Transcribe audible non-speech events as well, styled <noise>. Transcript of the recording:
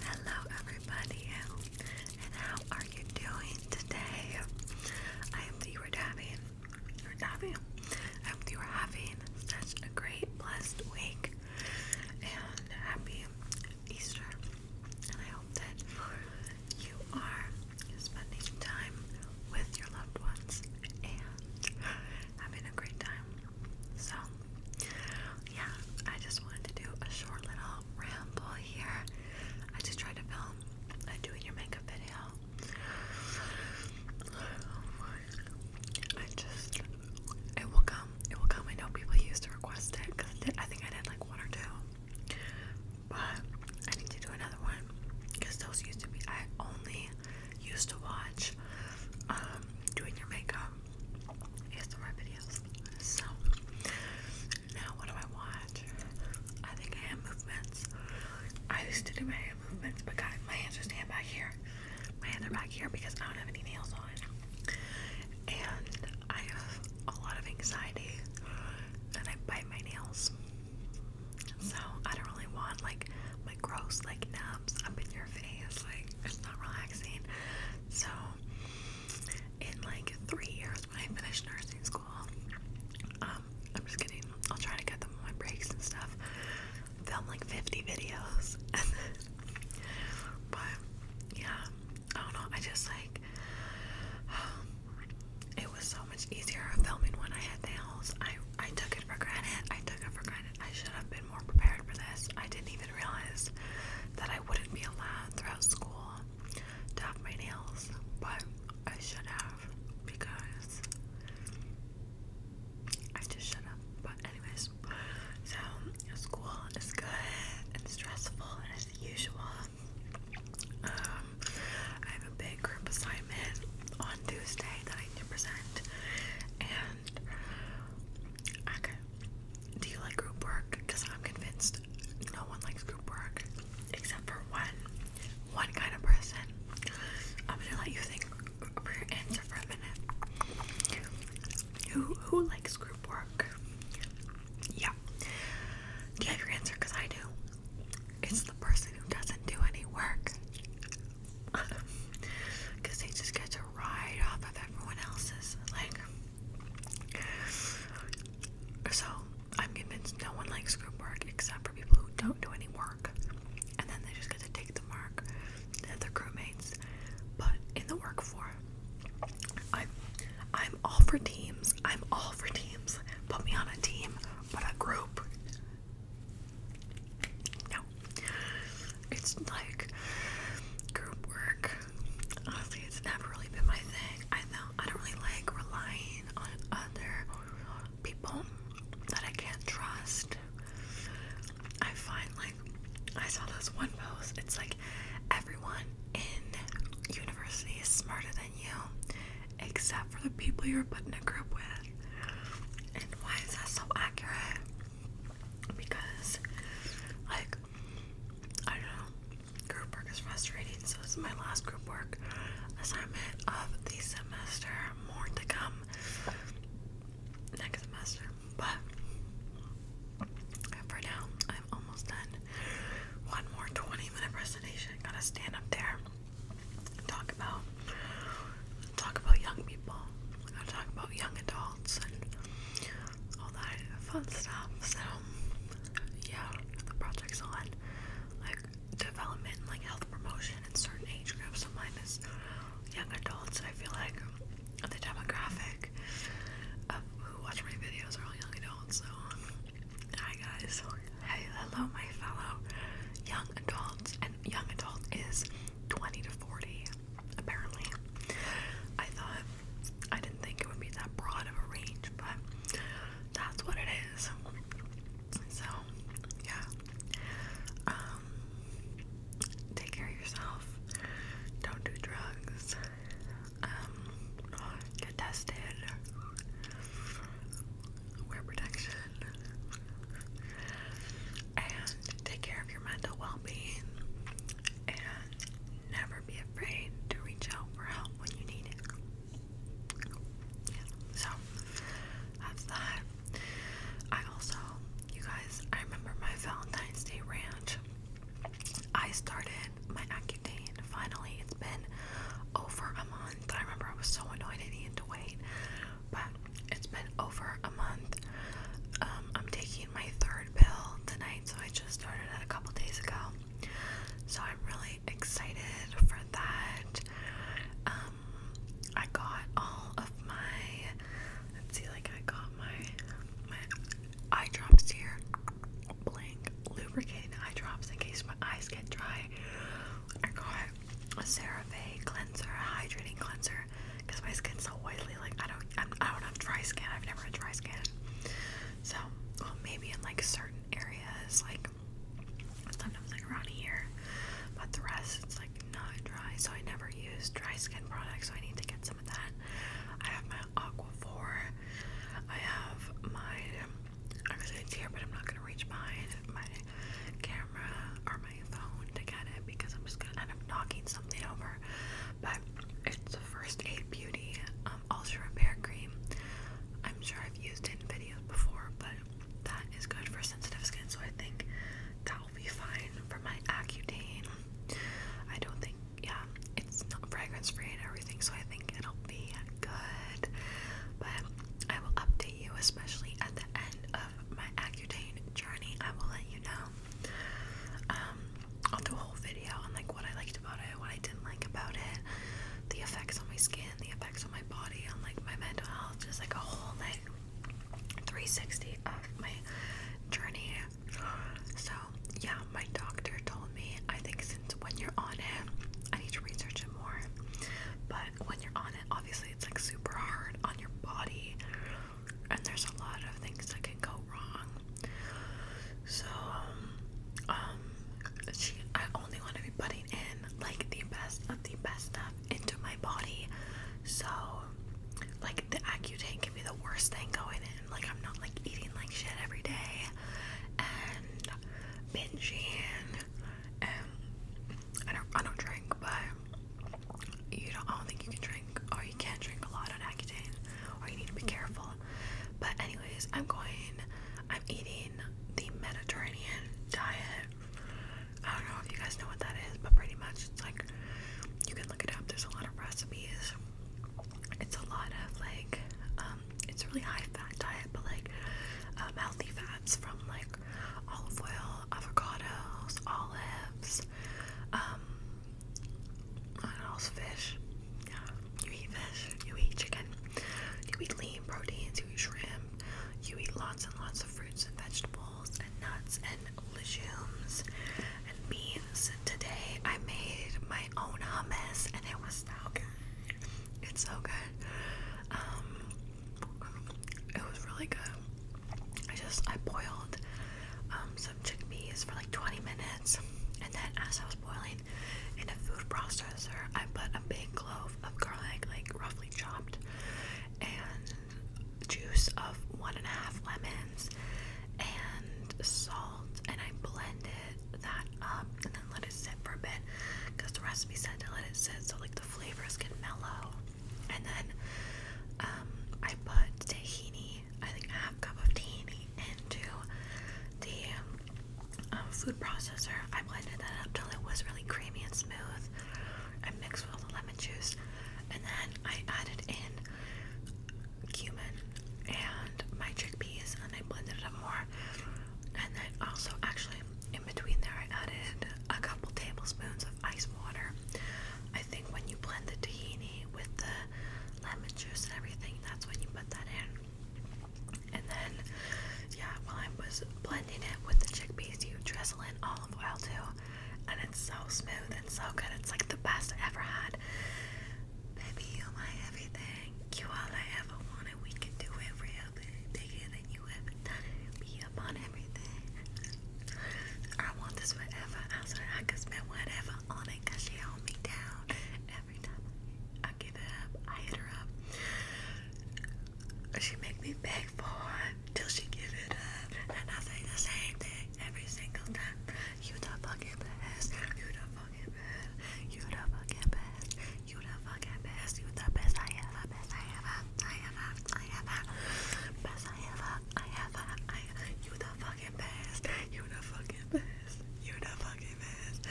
Hello, everybody, how are you doing today? I hope you are having, or having, I hope you are having a great, blessed week, and happy Easter. And I hope that you are spending time with your loved ones and having a great time. So, yeah, I just wanted to do a short little ramble here. I just tried to film a doing your makeup video. I just, it will come. It will come. I know people used to request it because I think I did like one or two. But I need to do another one because those used to be, I only used to watch um, doing your makeup ASMR videos. So now what do I watch? I think hand movements. I used to do my hand movements, but guys, my hands are stand back here. My hands are back here because I don't have any nails on. And I have a lot of anxiety and I bite my nails. So I don't really want like my gross like nubs up in your face like it's not relaxing so in like three years when I finish nursing school um I'm just kidding I'll try to get them on my breaks and stuff film like 50 videos <laughs> but yeah I don't know I just like <sighs> it was so much easier filming when I had nails I I took it for granted I took it for granted I should have been more prepared for this. I didn't even realize that I wouldn't be allowed throughout school to have my nails, but I should have because I just should have. But, anyways, so school is good and stressful and as usual. Um, big group assignment on Tuesday that I need to present. And okay, do you like group work? Because I'm convinced no one likes group work except for one, one kind of person. I'm gonna let you think for your answer for a minute. Who who likes group work? Yeah. Do you have your answer? Because I do. It's the person who doesn't do any work. Because <laughs> they just get a ride off of everyone else's. Like, so I'm convinced no one likes group work except for people who don't do any work. And then they just get to take the mark that their crewmates But in the work for. I'm, I'm all for teams. I'm all for teams. Put me on a team, but a group. No. It's like group work. Honestly, it's never really been my thing. I know I don't really like relying on other people that I can't trust. I find like I saw this one post. It's like everyone in university is smarter than you except for the people you're putting a group with. And why is that so accurate? Because, like, I don't know, group work is frustrating, so this is my last group work assignment of the semester. More to come next semester, but for now, I'm almost done. One more 20 minute presentation, gotta stand up there talk about talk about young people. talk about young adults and all that fun stuff. So yeah, the project's on like development, like health promotion in certain age groups. So mine is young adults. I feel like the demographic of who watch my videos are all young adults. So Hi guys. Hi, hello my fellow young adults. And young adult is 20 to 40, apparently. I thought I didn't think it would be that broad of a range, but that's what it is. So, yeah. Um take care of yourself. Don't do drugs get um, tested, wear protection, and take care of your mental well being, and never be afraid to reach out for help when you need it. so that's that. I also, you guys, I remember my Valentine's Day rant. I started my Accutane. Finally, it's been over a month. I remember I was so annoyed I needed to wait, but it's been over a month. Um, I'm taking my third pill tonight, so I just started it a couple days ago. So I'm really excited for that. Um, I got all of my. Let's see, like I got my my eye drops here. Blank lubricating eye drops in case my eyes get dry. I got a CeraVe cleanser, hydrating cleanser, because my skin's so oily. Like I don't, I'm, I do not have dry skin. I've never had dry skin. So, maybe in like certain areas, like sometimes like around here, but the rest it's like not dry. So I never use dry skin products. So I need to get some some that. I have my Aquaphor. I have my, I'm gonna but I'm not gonna reach behind my camera or my phone to get it because I'm just gonna end up knocking something over. But it's the First Aid Beauty um, Repair Cream. I'm sure I've used it in videos before, but that is good for sensitive skin, so I think that will be fine for my Accutane. I don't think yeah, it's not fragrance free and everything, so I think it'll be good. But I will update you, especially at the end of my Accutane journey. I will let you know. Um, I'll do a whole video on like what I liked about it, what I didn't like about it, the effects on my skin, the effects on my body, on like my mental health, just like a whole like 360 of my journey so, yeah, my doctor told me I think since when you're on it, I need to research it more. But when you're on it, obviously it's like super hard on your body, and there's a lot of things that can go wrong. So, um, she, I only want to be putting in like the best of the best stuff into my body. So, like, the Accutane can be the worst thing going in. Like, I'm not like eating like shit every day and binging. And I don't, I don't drink, but you don't. I don't think you can drink, or you can't drink a lot on Accutane, or you need to be careful. But anyways, I'm going. I'm eating the Mediterranean diet. I don't know if you guys know what that is, but pretty much it's like you can look it up. There's a lot of recipes. It's a lot of like, um, it's a really high fat diet, but like um, healthy fats from like olive oil, avocados, olives, um, what else? Fish. Yeah, you eat fish, you eat chicken, you eat lean proteins, you eat shrimp, you eat lots and lots of fruits and vegetables and nuts and legumes and beans. Today I made my own hummus and it was so good. It's so good. Um, it was really good. I just I boiled um, some chickpeas for like 20 minutes, and then as I was boiling in a food processor, I put a big clove of garlic, like roughly chopped, and juice of one and a half lemons and salt, and I blended that up and then let it sit for a bit because the recipe said to let it sit so like the flavors get mellow. And then um, I put tahini, I think a half cup of tahini, into the um, food processor. I blended that up till it was really creamy and smooth. I mixed with the lemon juice, and then I added in cumin and my chickpeas, and I blended it up more. And then also, actually, in between there, I added a couple tablespoons of ice water. I think when you blend the tahini with the lemon juice and everything, that's when you put that in. And then, yeah, while I was blending it with the chickpeas, you drizzle in olive oil too. And it's so smooth and so good. It's like the best I ever had. Baby, you my everything. You all I ever wanted. We can do everything bigger than you ever done Be up on everything. I want this forever. I said I could spend whatever on it. she hold me down every time I I hit her up. She make me beg for it till she give it up. And I say the same thing every single time. You the fucking best. You the fucking best. You the fucking best. You the fucking best. You the best I ever. Best I ever. I ever. I ever. Best I ever. I ever. I. You the fucking best. You the fucking best. You the fucking best.